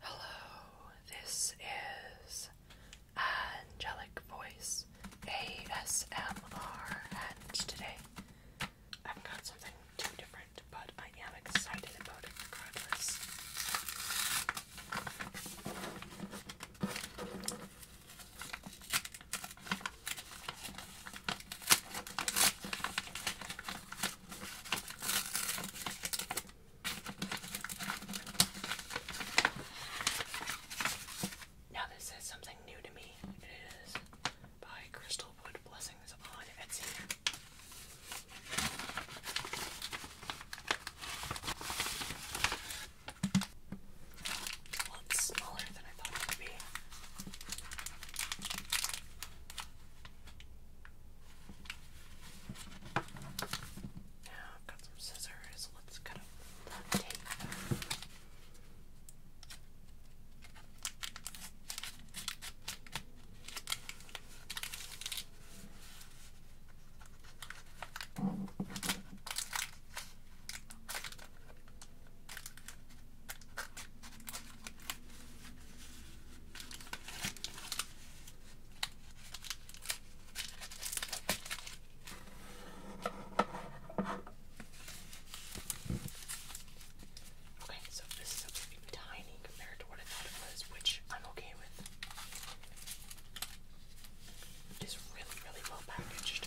Hello, this is Angelic Voice ASMR, and today I've got something too different, but I am excited about it now this is something new to me. It is by Crystal Blessings on Etsy. it's smaller than I thought it would be. Now I've got some scissors. Let's cut up the tape. Okay, so this is something tiny compared to what I thought it was, which I'm okay with. It is really, really well packaged.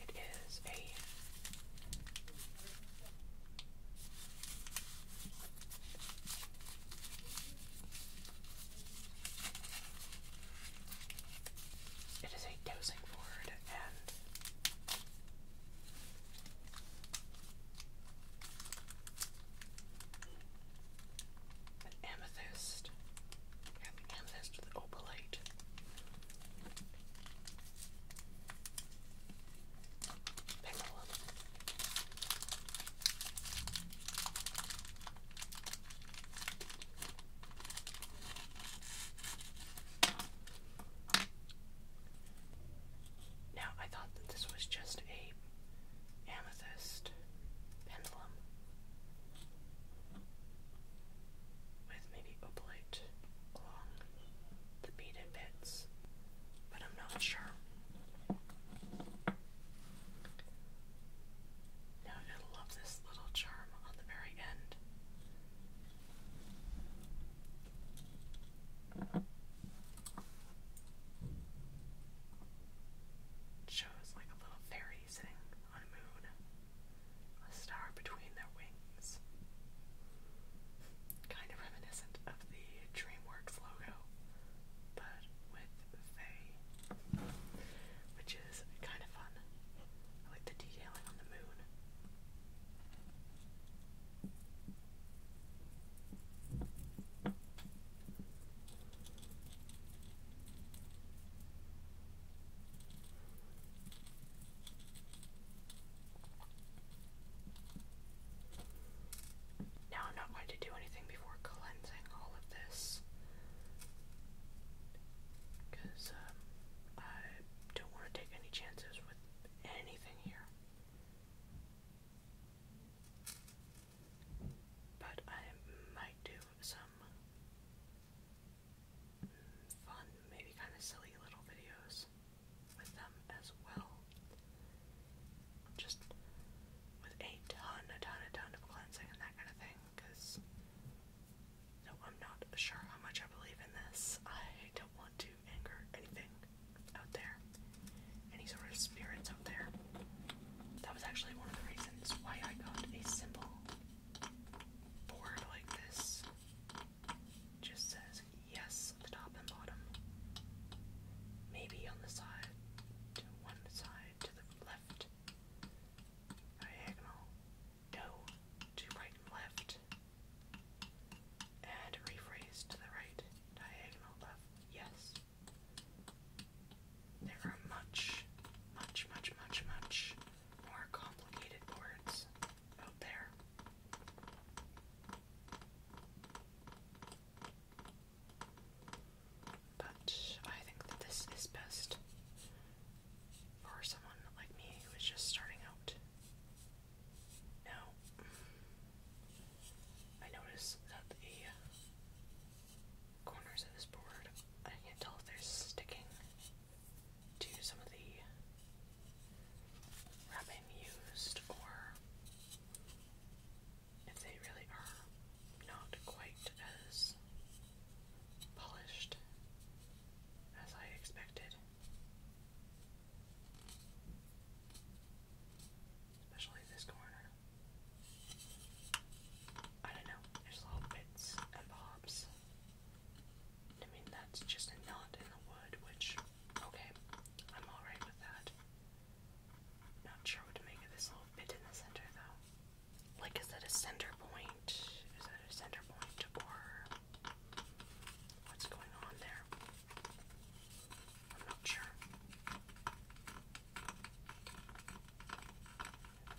It is a it is a dosing board and an amethyst. Got amethyst with opalite. Pendulum. Now, I thought that this was just a amethyst pendulum with maybe opalite along the beaded bits, but I'm not sure. Now I love this little charm on the very end shows like a little fairy sitting on a moon, a star between their wings. Kind of reminiscent of the DreamWorks logo, but with Faye, which is kind of fun. I like the detailing on the moon. Now I'm not going to do anything before cleansing all of this because um, I don't want to take any chances with anything here. But I might do some fun, maybe kind of silly little videos with them as well. Just with a ton, a ton, a ton of cleansing and that kind of thing, because no, I'm not sure how much I believe in this. I don't want to anger anything out there any sort of spirits out there. That was actually one of the reasons why I got a symbol board like this. Just says yes on the top and bottom. Maybe on the side, to one side, to the left. Diagonal. No, to right and left. And rephrase to the right. Diagonal left. Yes. There are much, much, much, much, much more complicated boards out there. But I think that this is best for someone like me who is just starting out. No. I notice that the corners of this board, I can't tell if they're sticking to some of the wrapping used or if they really are not quite as polished as I expected especially this corner. I don't know, there's little bits and bobs. I mean, that's just a knot in the wood, which, okay, I'm alright with that. Not sure what to make of this little bit in the center, though. Like, is that a center point? Is that a center point, or what's going on there? I'm not sure.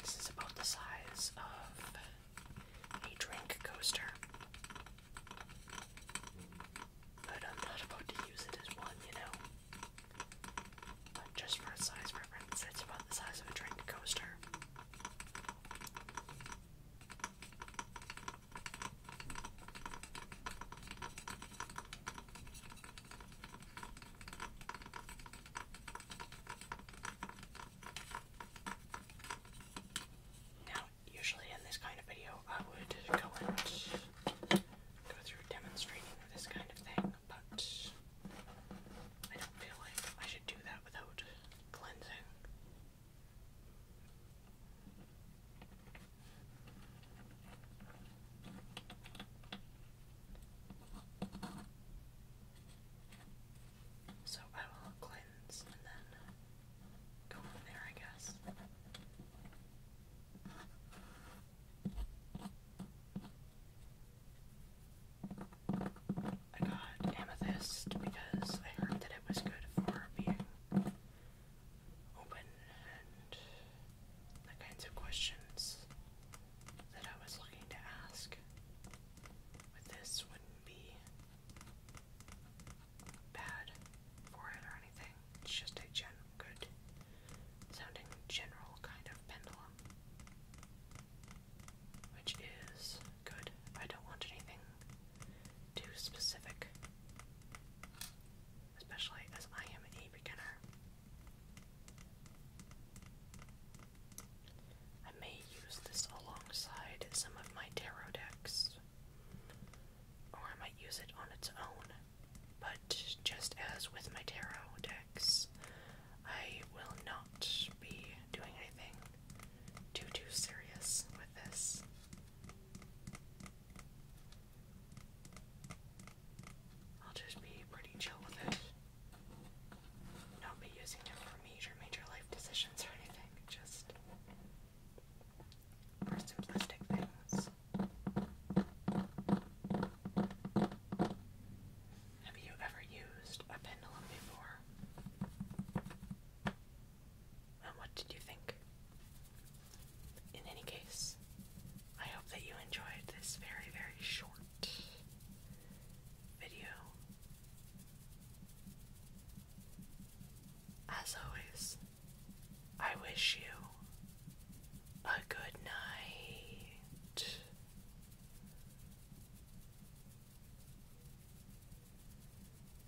This is about the size of a drink coaster. But I'm not about to use it as one, you know. But just for size reference, it's about the size of a drink coaster. Now, usually in this kind of video, I would go and go through demonstrating this kind of thing, but I don't feel like I should do that without cleansing. So I will cleanse and then go from there, I guess. I got amethyst because I heard that it was good for being open and the kinds of questions that I was looking to ask with this wouldn't be bad for it or anything. It's just a good sounding general kind of pendulum. Which is good. I don't want anything too specific, especially as I am a beginner. I may use this alongside some of my tarot decks, or I might use it on its own, but just as with my tarot decks, I will not be doing anything too, too serious with this. I'll just be pretty chill with it. Not be using it for major, major life decisions or anything. Just for simplistic things. Have you ever used a pendulum before? And what did you think? In any case, I hope that you enjoyed this very, very short video. As always, I wish you a good night.